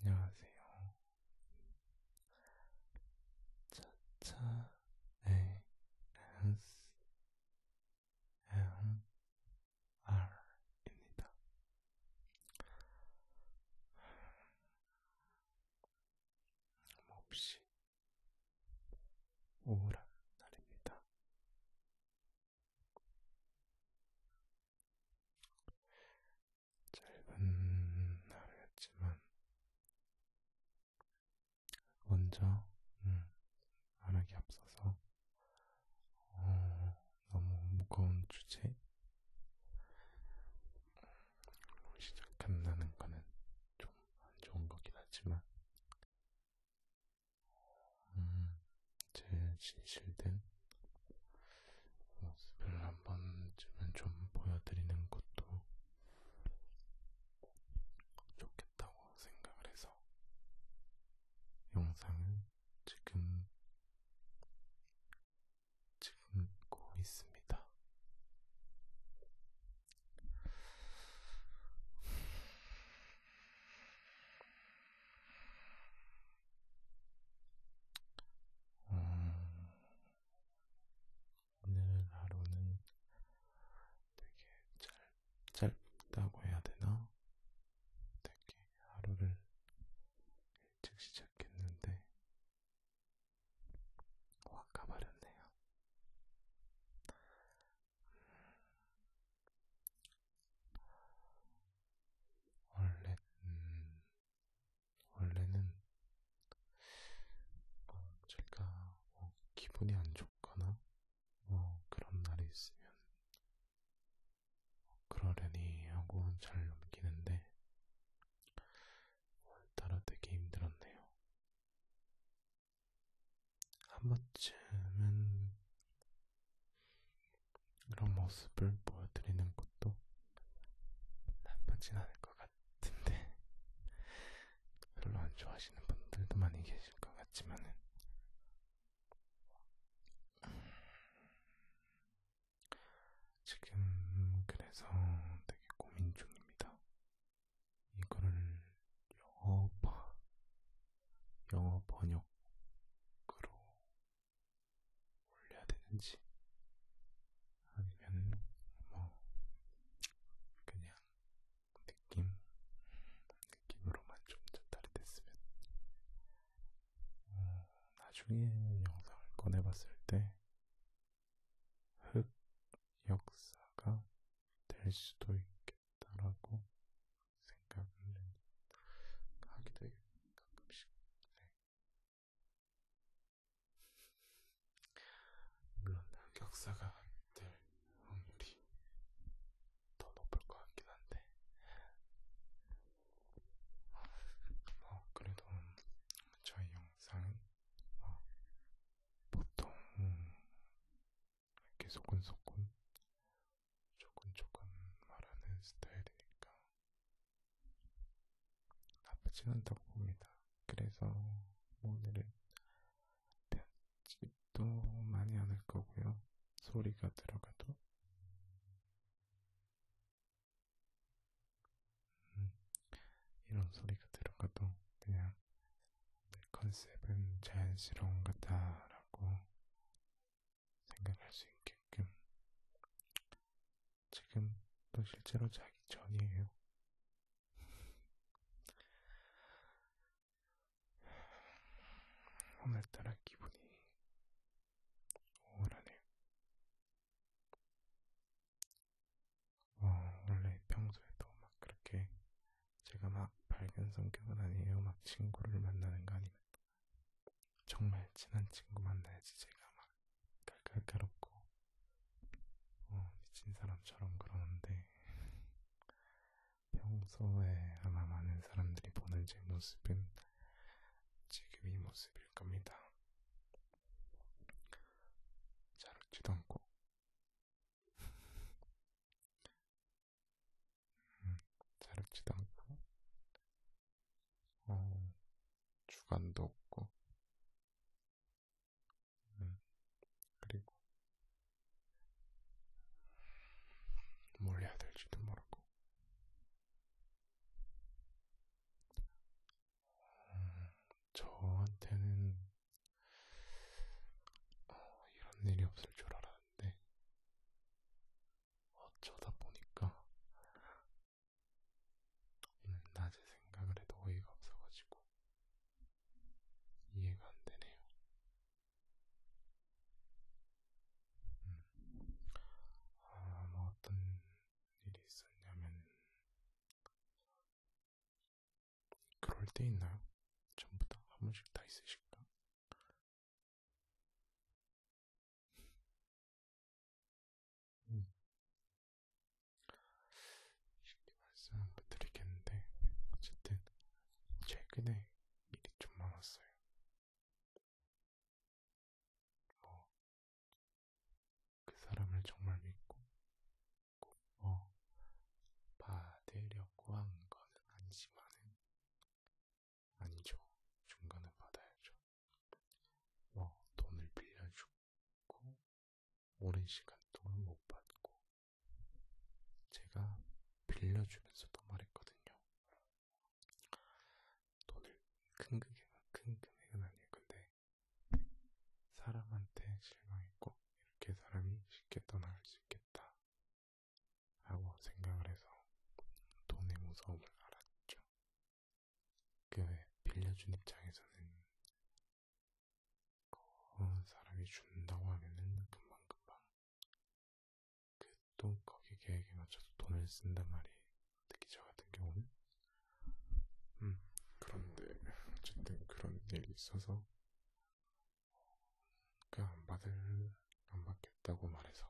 안녕하세요. 차차 A S M R입니다. 몹시 우울한 날입니다. 짧은 하루였지만 먼저 음, 말하기 앞서서 어, 너무 무거운 주제 음, 시작한다는 거는 좀 안 좋은 거긴 하지만 음, 제 진실된 모습을 한 번쯤은 좀 보여드리는 것도 좋겠다고 생각을 해서 영상을 지금 찍고 있습니다. 음, 오늘 하루는 되게 짧, 짧다고 해야 되나? 되게 하루를 일찍 시작했는데 확 가버렸네요. 원래, 음, 원래는 어, 제가 뭐 기분이 안 좋거나 뭐 그런 날이 있으면 그러려니 하고 잘 넘기는데 오늘따라 되게 힘들었네요. 한 번쯤은 그런 모습을 보여드리는 것도 나쁘진 않을 것 같은데 별로 안 좋아하시는 분들도 많이 계실 것 같지만은 지금 그래서 되게 고민 중입니다. 이거를 영어 번 영어 번역으로 올려야 되는지 아니면 뭐 그냥 느낌 느낌으로만 좀 전달이 됐으면 어, 나중에 영상을 꺼내봤을 때 흑 역사가 될 수도 있겠다라고 생각을 하기도 해요. 가끔씩. 네. 물론 격사가 될 확률이 더 높을 것 같긴 한데 뭐 그래도 저희 영상은 뭐 보통 이렇게 소곤소곤 조금조금 말하는 스타일이니까 나쁘진 않다고 봅니다. 그래서 뭐 오늘은 편집도 많이 안할 거고요. 소리가 들어가도 음, 이런 소리가 들어가도 그냥 내 컨셉은 자연스러운 거다라고 생각할 수 있게끔 지금도 실제로 자기 전이에요. 오늘따라 기분이 우울하네요. 어, 원래 평소에도 막 그렇게 제가 막 밝은 성격은 아니에요. 막 친구를 만나는 거 아니면 정말 친한 친구만 돼야지 제가 막 깔깔깔없고 어, 미친 사람처럼 그러는데 평소에 아마 많은 사람들이 보는 제 모습은 지금 이 모습일 겁니다. 잘 웃지도 않고 자렵지도 않고 어, 주관도 없고 음, 그리고 뭘 해야 될지도 모르고 음, 저한테는 어, 이런 일이 없을 줄 알았는데 어쩌다 보니까 오늘 낮에 생각을 해도 어이가 없어가지고 이해가 안 되네요. 음. 아, 뭐 어떤 일이 있었냐면 그럴 때 있나요? 전부 다한 번씩 다 있으실까? 음. 쉽게 말씀을 못 드리겠는데 어쨌든 최근에 일이 좀 많았어요. 뭐그 사람을 정말 믿고 뭐 받으려고 한 거는 아니지만은 아니죠. 중간은 받아야죠. 뭐 돈을 빌려주고 오랜 시간 동안 못 받고 제가 빌려주면서도 말했거든요. 돈을 큰 금액은 큰 금액은 아니에요. 근데 사람한테 실망했고 이렇게 사람이 쉽게 떠나갈 수 있겠다. 라고 생각을 해서 돈의 무서움을 알았죠. 그 빌려준 입장에서는 그 사람이 준다고 하면은 금방금방 그또 거기 계획에 맞춰서 돈을 쓴단 말이에요. 특히 저 같은 경우는 음 그런데 어쨌든 그런 일이 있어서 어, 그안 그러니까 받을 안 받겠다고 말해서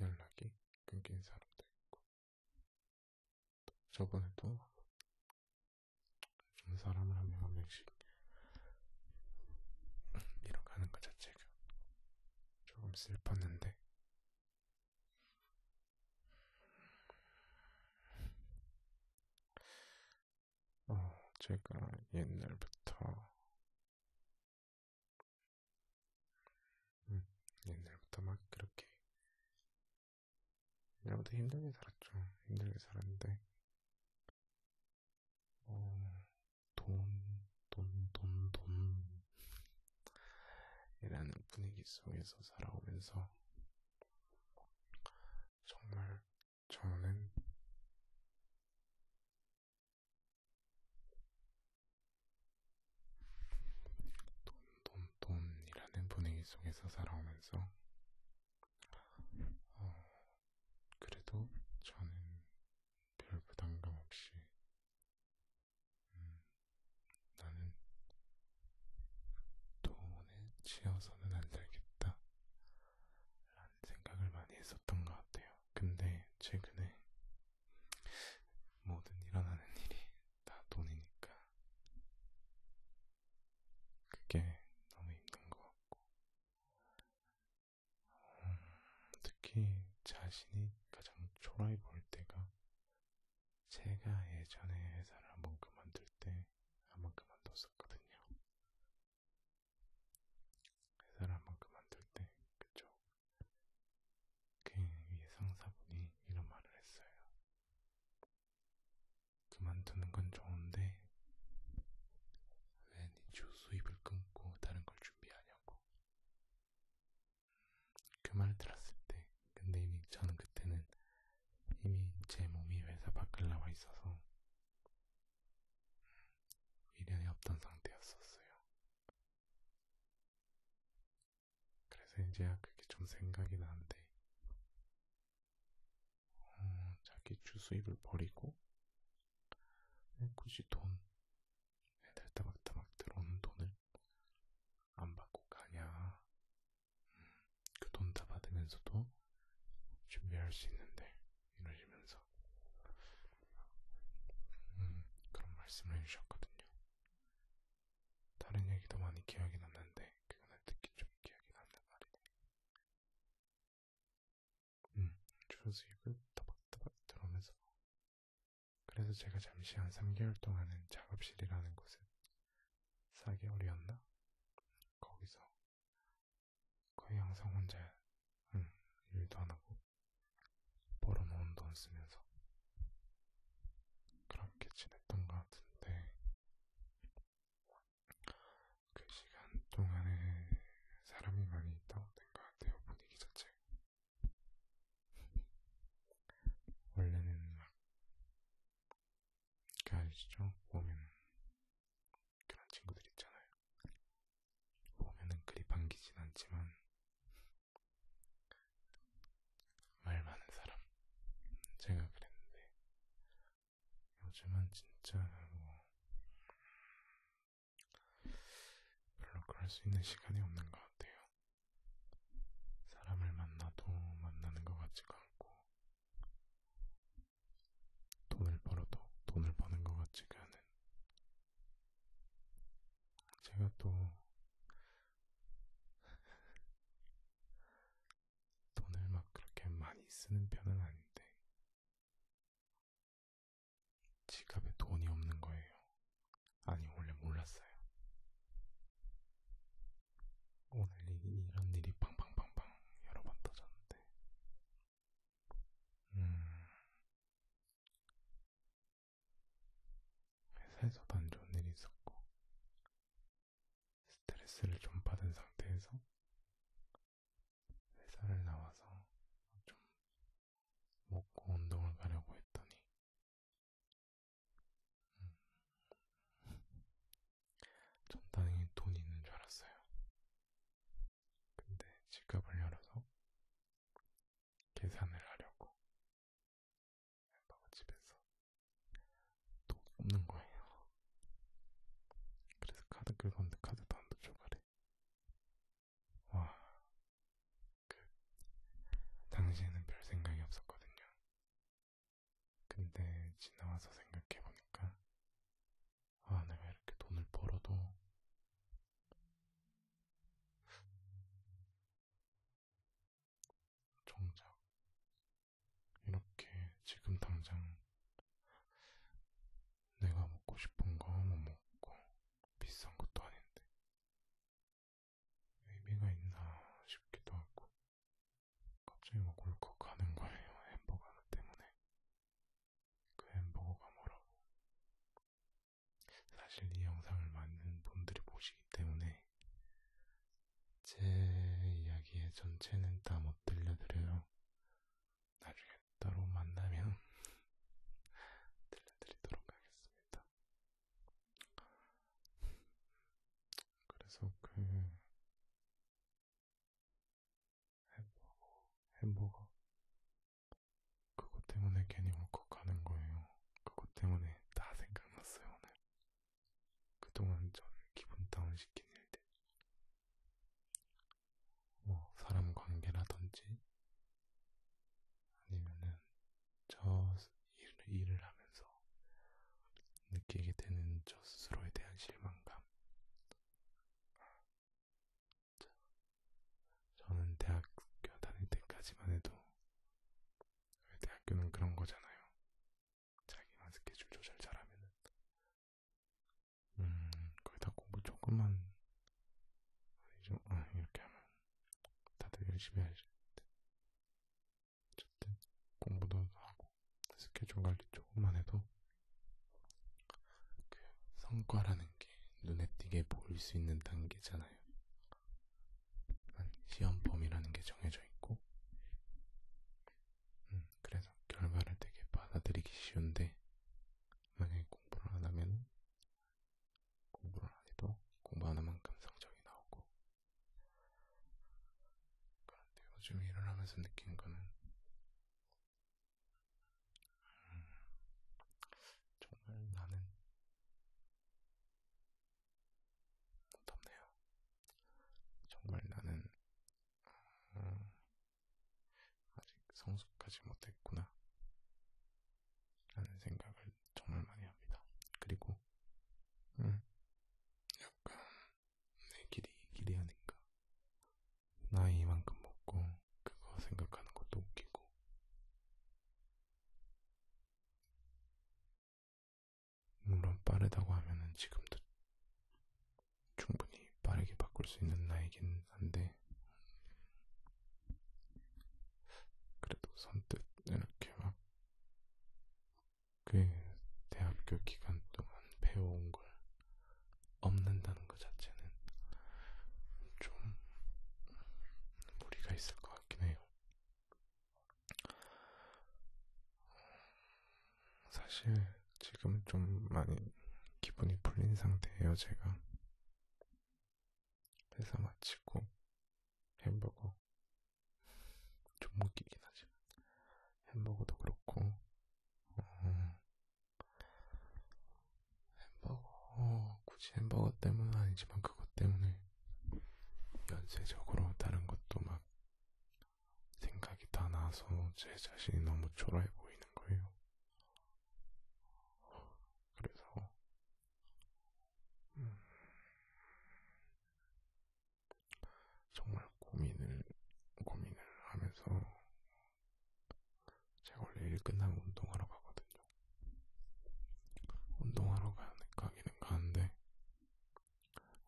연락이 끊긴 사람도 있고 저번에도 사람을 한명한 명씩 잃어가는 것 자체가 조금 슬펐는데 어, 제가 옛날부터 음, 옛날부터 막 그렇게 옛날부터 힘들게 살았죠. 힘들게 살았는데 어, 돈, 돈, 돈, 돈 이라는 분위기 속에서 살아오면서 정말 저는 돈돈돈이라는 분위기 속에서 살아오면서 어, 그래도 저는 별 부담감 없이 음, 나는 돈에 치여서는 안 살겠다 라는 생각을 많이 했었던 것 같아요. 근데 최근에 뭐든 일어나는 일이 다 돈이니까 그게 너무 힘든 것 같고 음, 특히 자신이 가장 초라해 보일 때가 제가 예전에 회사를 한 번 그만둘 때 한번 그만뒀었거든요. 회사를 그 한번 그만둘 때, 그쵸? 그 상사분이 이런 말을 했어요. 그만두는 건 좋은데, 왜 네 주 수입을 끊고 다른 걸 준비하냐고. 음, 그 말을 들었을 때, 근데 이미 저는 그때는 이미 제 몸이 회사 밖을 나와 있어서 미련이 음, 없던 상태였었어요. 그래서 이제야 그게 좀 생각이 나는데, 어, 자기 주수입을 버리고, 네, 굳이 돈, 애들 네, 따박따박 들어오는 돈을 안 받고 가냐. 음, 그돈 다 받으면서도 준비할 수 있는데, 이러시면서 음, 그런 말씀을 해주셨거든요. 다른 얘기도 많이 기억이 났는데 그거는 특히 좀 기억이 남는 말이네요. 음, 주스 이걸 더박더박 들어오면서 그래서 제가 잠시 한 3개월 동안은 작업실이라는 곳은 4개월이었나? 거기서 거의 항상 혼자 응, 음, 일도 안 하고 벌어놓은 돈 쓰면서 그렇게 지냈던 것 같은데 그 시간 동안에 사람이 많이 다운된 것 같아요 분위기 자체가 원래는 막 그 아시죠? 보면 그런 친구들 있잖아요 보면은 그리 반기진 않지만 말 많은 사람 제가 그랬는데 요즘은 진짜 뭐 별로 그럴 수 있는 시간이 없는 것 같아요. 사람을 만나도 만나는 것 같지가 않고 돈을 벌어도 돈을 버는 것 같지가 않은 제가 또 돈을 막 그렇게 많이 쓰는 편은 아닌데 지갑에 돈이 없는 거예요. 아니 원래 몰랐어요. 오늘 이런 일이 빵빵빵빵 여러 번 터졌는데 음 회사에서 안 좋은 일이 있었고 스트레스를 좀 받은 상태에서 회사를 나와서 좀 먹고 운동을 가려고 했더니 음. 전 당연히 돈이 있는 줄 알았어요. 근데 지갑을 열어서 계산을 하려고 햄버거 집에서 돈 없는 거예요. 그래서 카드 긁었는데 카드도 안 도줘가래. 와, 그 당시에는 별 생각이 없었거든요. 근데 지나와서 생각해보니까 아 내가 이렇게 돈을 벌어도 정작 이렇게 지금 당장 내가 먹고 싶은 거만 뭐 먹고 비싼 것도 아닌데 의미가 있나 싶기도 하고 갑자기 먹 울컥 가는 거예요 햄버거 하나 때문에 그 햄버거가 뭐라고 사실 이 영상을 많은 분들이 보시기 때문에 제 이야기의 전체는 다 못 들려드려요. 나중에 따로 만나면 들려드리도록 하겠습니다. 그래서 그 햄버거, 햄버거, 그것 때문에 괜히 울컥하는 거예요. 그것 때문에 다 생각났어요, 오늘. 그동안 저를 기분 다운시킨 일들. 뭐, 사람 관계라든지, 아니면은, 저 일, 일을 하면서 느끼게 되는 저 스스로에 대한 실망감. 저는 대학교 다닐 때까지만 해도 대학교는 그런 거잖아요. 자기만 스케줄 조절 잘하면은 음 거의 다 공부 조금만 좀 아, 이렇게 하면 다들 열심히 하실 텐데 어쨌든 공부도 하고 스케줄 관리 조금만 해도 그 성과라는 게 눈에 띄게 보일 수 있는 단계잖아요. 아, 시험 범위라는 게 정해져 있고, 음, 그래서 결과를 되게 받아들이기 쉬운데, 만약에 공부를 안 하면, 공부를 안 해도 공부 안 한만큼 성적이 나오고, 그런데 요즘 일을 하면서 느낀 거는, 정말 나는 덥네요. 정말 나는 음, 아직 성숙하지 못했구나. 라는 생각을 정말 많이 합니다. 그리고, 음, 약간 내 길이 길이 아닌가 나이 만큼 먹고 그거 생각하는 것도 웃기고 물론 빠르다고 하면은 지금도 충분히 빠르게 바꿀 수 있는 나이긴 한데 그래도 선뜻 이렇게 막 그 대학교 기간 동안 배워온 걸 없는다는 것 자체는 좀 무리가 있을 것 같긴 해요. 사실 지금 좀 많이 기분이 풀린 상태예요, 제가. 회사 마치고 햄버거 좀 웃기긴 하지만 햄버거도 그렇고 어, 햄버거, 어, 굳이 햄버거 때문은 아니지만 그것 때문에 연쇄적으로 다른 것도 막 생각이 다 나서 제 자신이 너무 초라해 보이는 거예요. 그래서 음, 정말 고민을 고민을 하면서 제가 원래 일 끝나면 운동하러 가거든요. 운동하러 가, 가기는 가는데,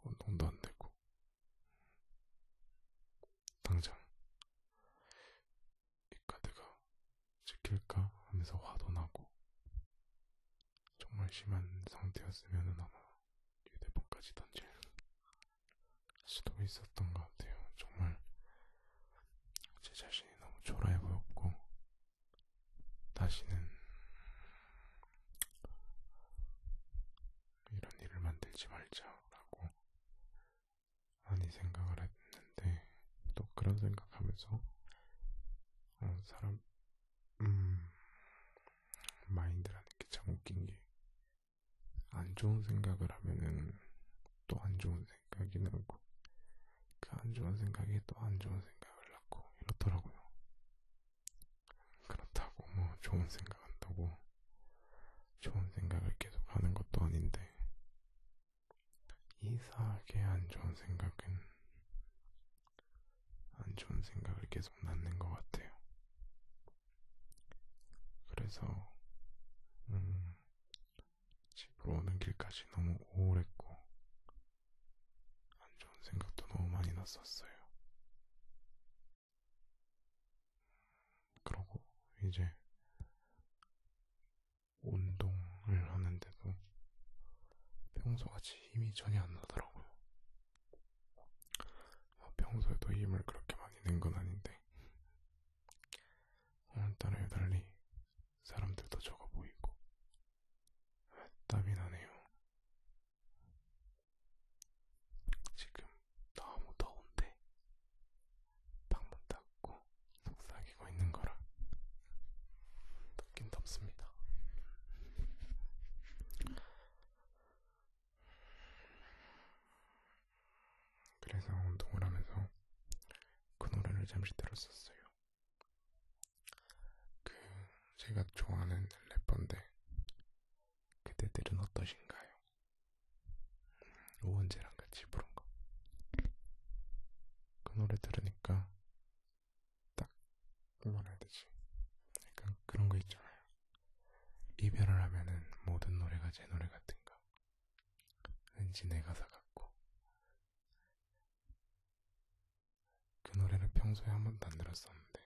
운동도 안 되고, 당장, 이 카드가 지킬까 하면서 화도 나고, 정말 심한 상태였으면 아마 휴대폰까지 던질 수도 있었던 것 같아요. 정말 제 자신이 너무 초라해 보였고 다시는 이런 일을 만들지 말자라고 많이 생각을 했는데 또 그런 생각하면서 어, 사람 음, 마인드라는 게 참 웃긴 게 안 좋은 생각을 하면은 또 안 좋은 생각이 늘고 그 안 좋은 생각이 또 안 좋은 생각을 낳고 이렇더라고요. 그렇다고 뭐 좋은 생각한다고 좋은 생각을 계속 하는 것도 아닌데 이상하게 안 좋은 생각은 안 좋은 생각을 계속 낳는 것 같아요. 그래서 음, 집으로 오는 길까지 너무 우울했고, 안 좋은 생각도 너무 많이 났었어요. 그러고 이제 운동을 하는데도 평소같이 힘이 전혀 안 나더라고요. 평소에도 힘을 그렇게 많이 낸 건 아닌데 오늘따라 여달리 사람들도 적어 보이고 땀이 나네요. 지금 너무 더운데 방문 닫고 속삭이고 있는 거라 덥긴 덥습니다. 그래서 운동을 하면서 그 노래를 잠시 들었었어요. 그 제가 좋아하는 래퍼인데 그대들은 어떠신가요? 오원재랑 같이 부른 거. 그 노래 들으니까 딱 뭐라 해야 되지? 약간 그런 거 있잖아요. 이별을 하면은 모든 노래가 제 노래 같은가 왠지 내 가사 같고 그 노래를 평소에 한 번도 안 들었었는데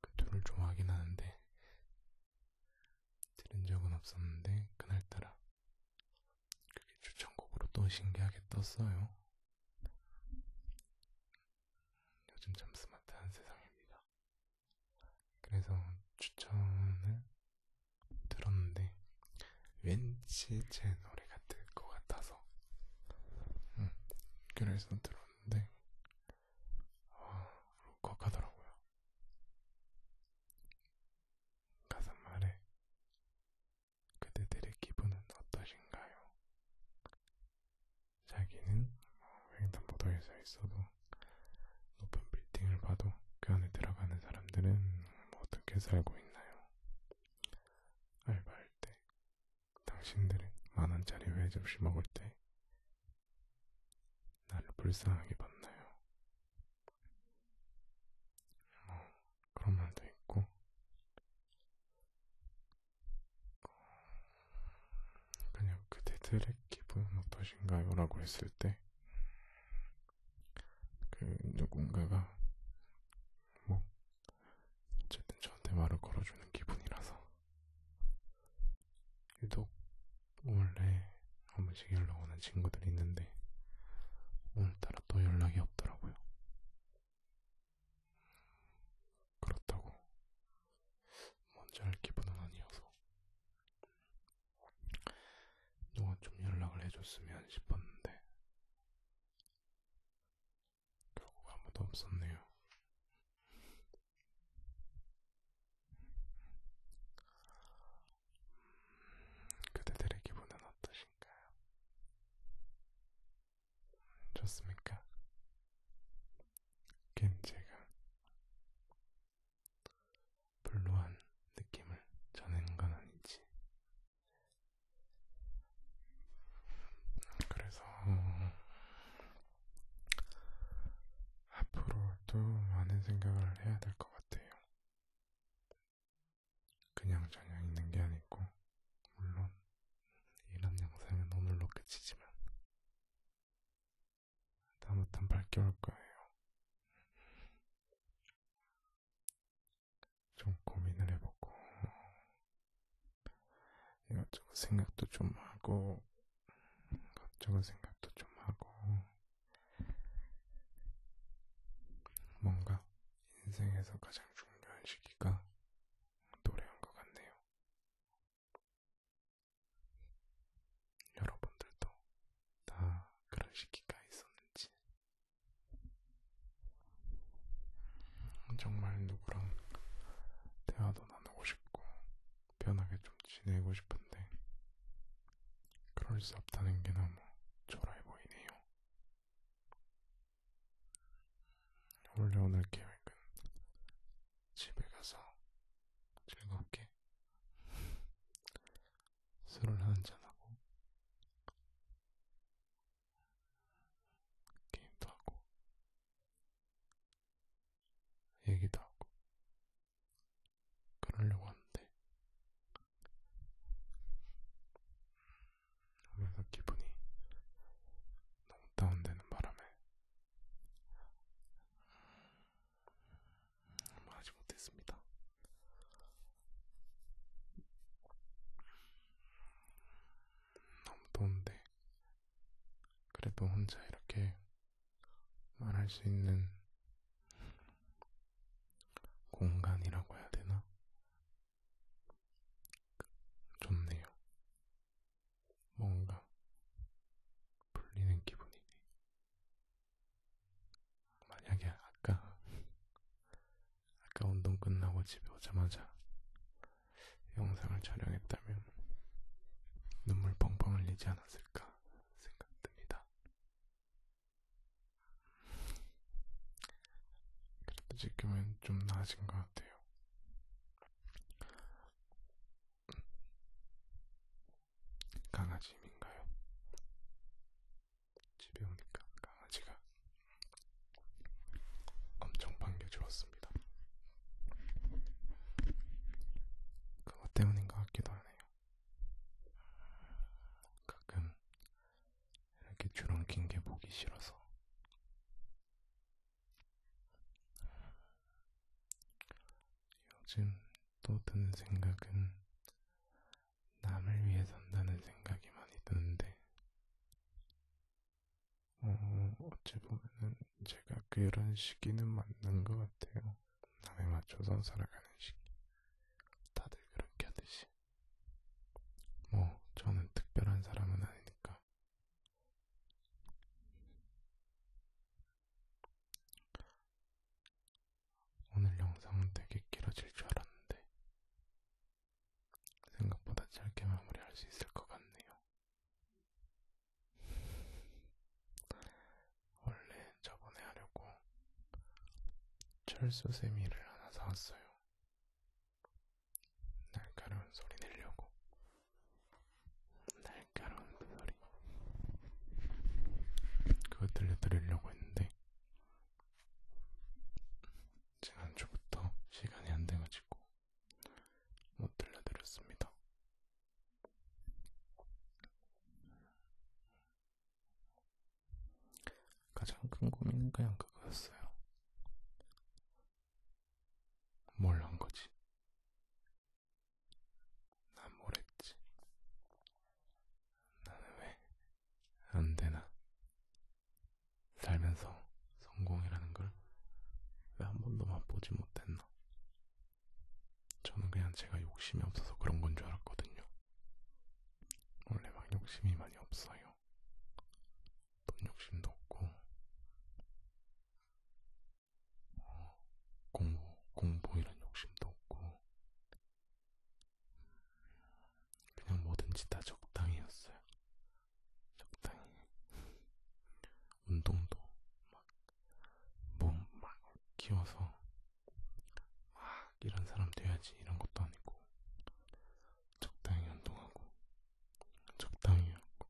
그 둘을 좋아하긴 하는데 들은 적은 없었는데 그날따라 그게 추천곡으로 또 신기하게 떴어요. 요즘 참 스마트한 세상입니다. 그래서 추천을 들었는데 왠지 제 노래가 될것 같아서 음, 그래서 들었는데 아, 울컥하더라고요. 가사 말에 그대들의 기분은 어떠신가요? 자기는 뭐 횡단보도에서 있어도 높은 빌딩을 봐도 그 안에 들어가는 사람들은 뭐 어떻게 살고 있나요? 알바할 때, 당신들은 만원짜리 회접시 먹을 때 나를 불쌍하게 봤나요? 뭐 그런 말도 있고 그냥 그대들의 기분 어떠신가요? 라고 했을 때그 누군가가 뭐 어쨌든 저한테 말을 걸어주는 기분이라서 유독 원래 한 번씩 연락 오는 친구들이 있는데 오늘따라 또 연락이 없더라고요. 그렇다고 먼저 할 기분은 아니어서 누가 좀 연락을 해줬으면 싶었는데 결국 아무도 없었네요. 음, 그대들의 기분은 어떠신가요? 좋습니까? 겐제가 블루한 느낌을 전하는 건 아니지. 그래서 앞으로도 많은 생각을 해야 될 것 같아요. 그냥 전혀 있는 게 아니고, 물론 이런 영상은 오늘로 끝이지만 다못한 8개월 거예요. 좀 고민을 해보고 이것저것 생각도 좀 하고 이것저것 생각도 좀 하고 뭔가 인생에서 가장 중요한 시기가 노래한 것 같네요. 여러분들도 다 그런 시기가 있었는지 정말 누구랑 대화도 나누고 싶고 편하게 좀 지내고 싶은데 그럴 수 없다는 게 너무 초라해 보이네요. 원래 오늘 계획은 집에 가서 즐겁게 술을 한잔하고 게임도 하고 얘기도 하고 그러려고 하는데 오면서 기분이 너무 다운되는 바람에 말하지 뭐 못했습니다. 너무 더운데 그래도 혼자 이렇게 말할 수 있는 공간이라고 해야 되나? 좋네요. 뭔가 풀리는 기분이네. 만약에 아까 아까 운동 끝나고 집에 오자마자 영상을 촬영했다면 눈물 펑펑 흘리지 않았을까 생각됩니다. 그래도 지금은 좀 나아진 것 같아요. 강아지 힘인가요? 집에 오니까 강아지가 엄청 반겨주었습니다. 그것 때문인 것 같기도 하네요. 가끔 이렇게 주렁킨 게 보기 싫어서 요즘 또 드는 생각은 남을 위해 산다는 생각이 많이 드는데, 어, 어찌 보면은 제가 그런 시기는 맞는 것 같아요. 남에 맞춰서 살아가는 시기. 다들 그렇게 하듯이. 뭐, 저는 특별한 사람은 아니니까. 오늘 영상은 되게 길어질 줄 알았는데 생각보다 짧게 마무리할 수 있을 것 같네요. 원래 저번에 하려고 철수 세미를 하나 사왔어요. 날카로운 소리 내려고. 날카로운 그 소리 그거 들려드리려고 했는데 지금 한주부터 시간이 안 돼가지고 못 들려드렸습니다. 가장 큰 고민은 그냥 그거였어요. 뭘 한 거지? 난뭘 했지? 나는 왜 안 되나? 살면서 성공이라는 걸 왜 한 번도 맛보지 못했나? 저는 그냥 제가 욕심이 없어서 그런 건 줄 알았거든요. 원래 막 욕심이 많이 없어요. 돈 욕심도 없고, 공부, 공부 이런 욕심도 없고 그냥 뭐든지 다 적당히였어요. 적당히 운동도 막 몸막 막 키워서 막 이런 사람 돼야지 이런 것도 아니고 적당히 운동하고 적당히 하고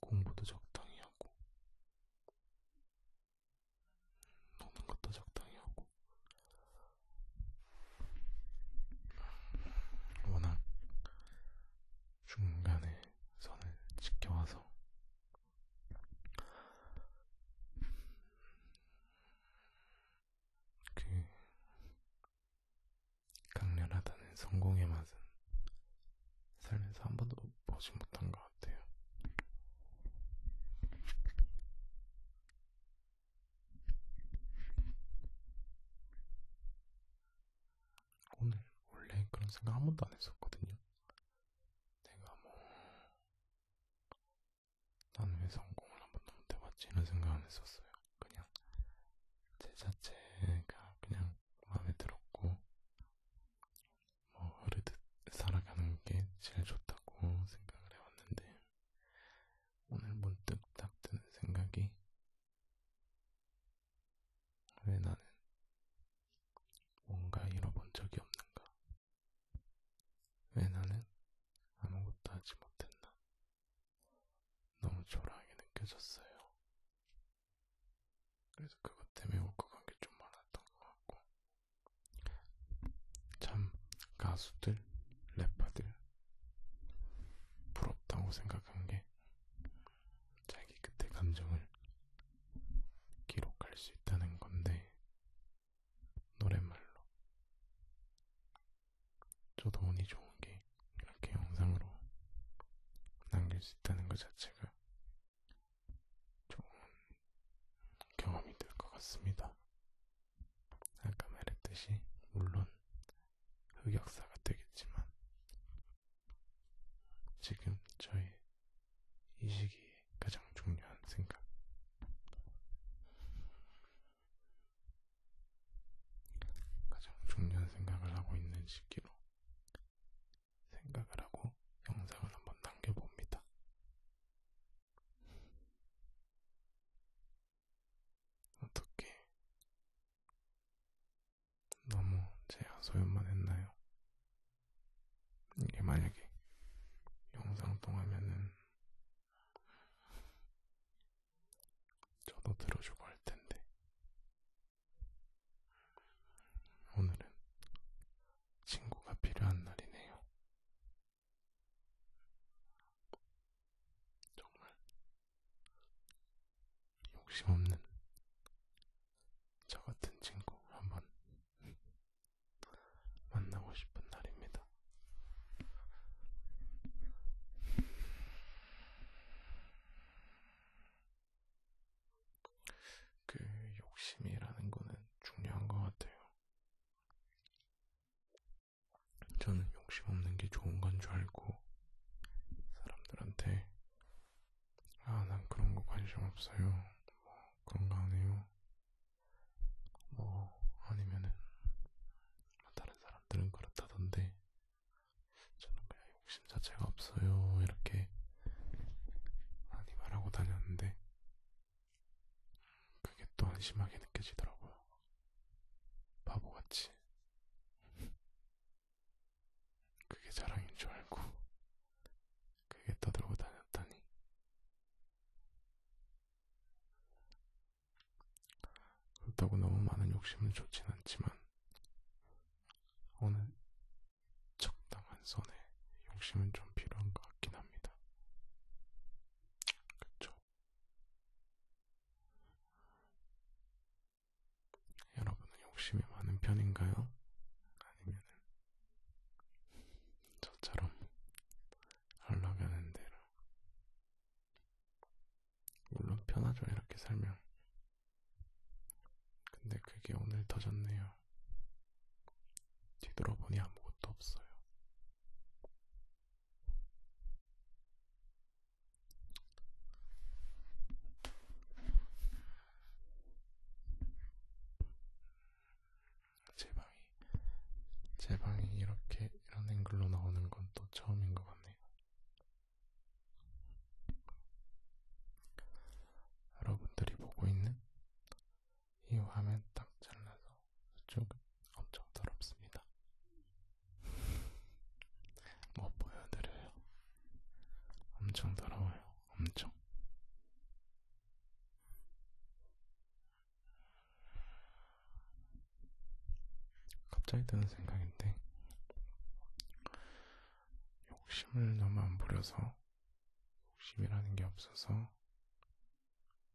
공부도 적당히 하고 노는 것도 적당히 하고 워낙 중간에 선을 지켜와서 그 강렬하다는 성공의 맛은 살면서 한 번도 보지 못한 것 같아요. 오늘 원래 그런 생각 한 번도 안 했었거든요. 내가 뭐, 난왜 성공을 한 번도 못 해봤지? 이런 생각 안 했었어요. 그냥 제 자체가 그냥 마음에 들었고, 뭐 어, 흐르듯 살아가는 게 제일 좋다고 생각을 해왔는데 오늘 문득 딱 드는 생각이 왜 나는 뭔가 잃어본 적이 없는가? 왜 나는 아무것도 하지 못했나? 너무 초라하게 느껴졌어요. 그래서 그것 때문에 울컥 한게 좀 많았던 것 같고 참 가수들, 래퍼들 부럽다고 생각한 게 자기 그때 감정을 기록할 수 있다는 건데 노랫말로 저도 운이 좋은 게 이렇게 영상으로 남길 수 있다는 것 자체가 좋은 경험이 될 것 같습니다. 아까 말했듯이 물론 흑역사가 되겠지만 지금 저희 이 시기에 가장 중요한 생각 가장 중요한 생각을 하고 있는 시기로 생각을 하고 영상을 한번 남겨봅니다. 어떻게 너무 제 하소연만 했나요? 이게 만약에 영상 통하면은 저도 들어주고 할 텐데 오늘은 친구가 필요한 날이네요. 정말 욕심 없는 저 같은 친구 한번 만나고 싶은 날입니다. 그 욕심이라는 거는 중요한 것 같아요. 저는 욕심 없는 게 좋은 건 줄 알고 사람들한테 아, 난 그런 거 관심 없어요. 뭐 그런 거안 해요. 뭐 아니면은 다른 사람들은 그렇다던데 저는 그냥 자체가 없어요. 이렇게 많이 말하고 다녔는데 그게 또 한심하게 느껴지더라고요. 바보같이. 그게 자랑인 줄 알고 그게 떠들고 다녔다니. 그렇다고 너무 많은 욕심은 좋진 않지만 오늘 적당한 선에 욕심은 좀 필요한 것 같긴 합니다. 그쵸? 여러분은 욕심이 많은 편인가요? 아니면 저처럼 하려가는 대로 물론 편하죠 이렇게 살면 근데 그게 오늘 터졌네요. 뒤돌아보니 아무것도 없어요. 제 방이, 제 방이 이렇게 이런 앵글로 나오는 건 또 처음인 것 같네요. 여러분들이 보고 있는 이 화면 딱 잘라서 이쪽은 엄청 더럽습니다. 뭐 보여드려요? 엄청 더러워요. 엄청. 갑자기 드는 생각인데 욕심을 너무 안 부려서 욕심이라는 게 없어서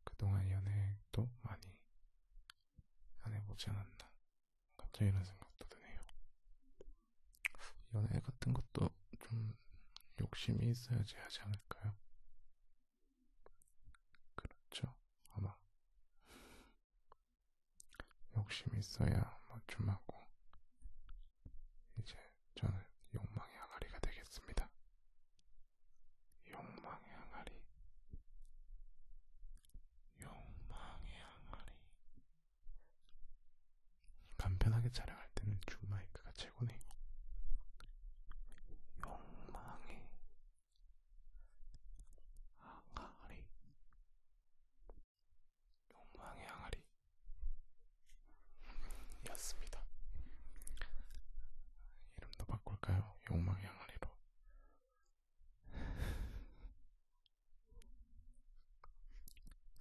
그동안 연애도 많이 안 해보지 않았나 갑자기 이런 생각도 드네요. 연애 같은 것도 좀 욕심이 있어야지 하지 않을까요? 그렇죠. 아마 욕심이 있어야 맞춤하고 이제 저는 욕망의 항아리가 되겠습니다. 욕망의 항아리. 욕망의 항아리. 간편하게 촬영할 때는 줌 마이크가 최고네요. 욕망의 항아리. 욕망의 항아리였습니다. 이름도 바꿀까요? 욕망의 항아리로.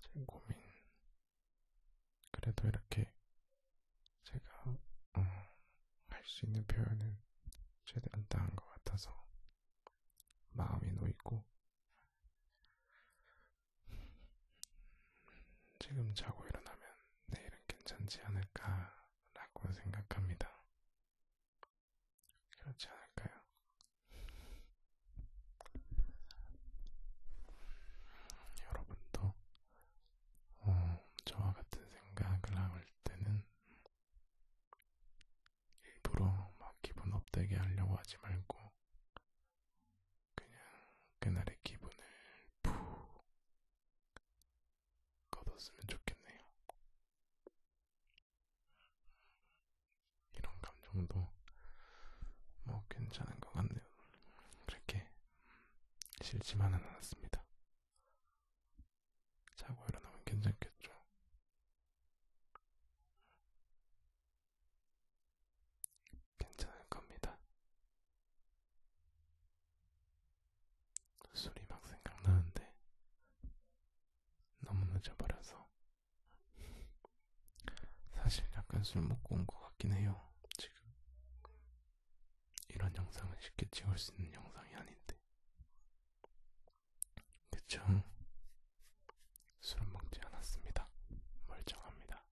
제 고민. 그래도 이렇게 제가 어, 할수 있는 표현은 최대한 다한 것 같아서 마음이 놓이고 지금 자고 일어나면 내일은 괜찮지 않을까라고 생각합니다. 그렇지 않을까요? 여러분도 어, 저와 같은 생각을 할 때는 일부러 막 기분 업되게 하려고 하지 말고 그냥 그날의 기분을 푹 거뒀으면 좋겠네요. 이런 감정도 뭐 괜찮은 것 같네요. 그렇게 싫지만은 않았습니다. 자고 일어나면 괜찮겠죠. 괜찮을 겁니다. 술이 막 생각나는데 너무 늦어버려서 사실 약간 술 먹고 온 것 같긴 해요. 지금 이런 영상은 쉽게 찍을 수 있는 영상이 아닌데, 그쵸? 술은 먹지 않았습니다. 멀쩡합니다.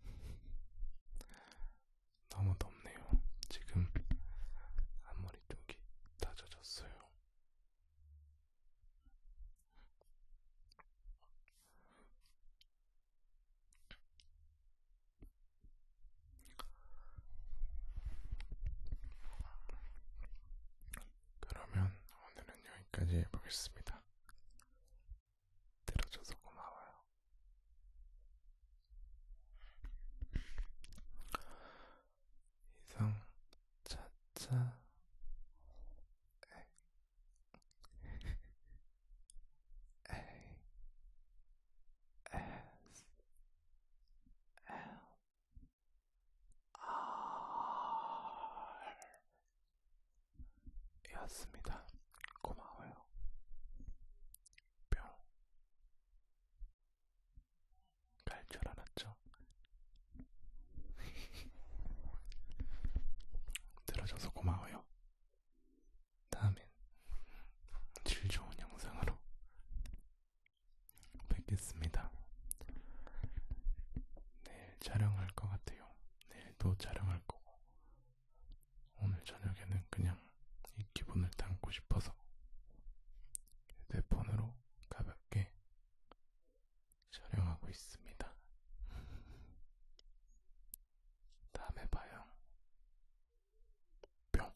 너무 덥네요. 지금 앞머리 쪽이 다 젖었어요. 그러면 오늘은 여기까지 해보겠습니다. 들어줘서 고마워요. 이상 차차 A S L 알이었습니다. 고마워요. 뿅. 갈 줄 알았죠? 들어줘서 고마워요. 다음엔 질 좋은 영상으로 뵙겠습니다. 내일 촬영할 것 같아요. 내일도 촬영할 거고. 오늘 저녁에는 그냥 이 기분을 담고 싶어서 휴대폰으로 가볍게 촬영하고 있습니다. 다음에 봐요. 뿅.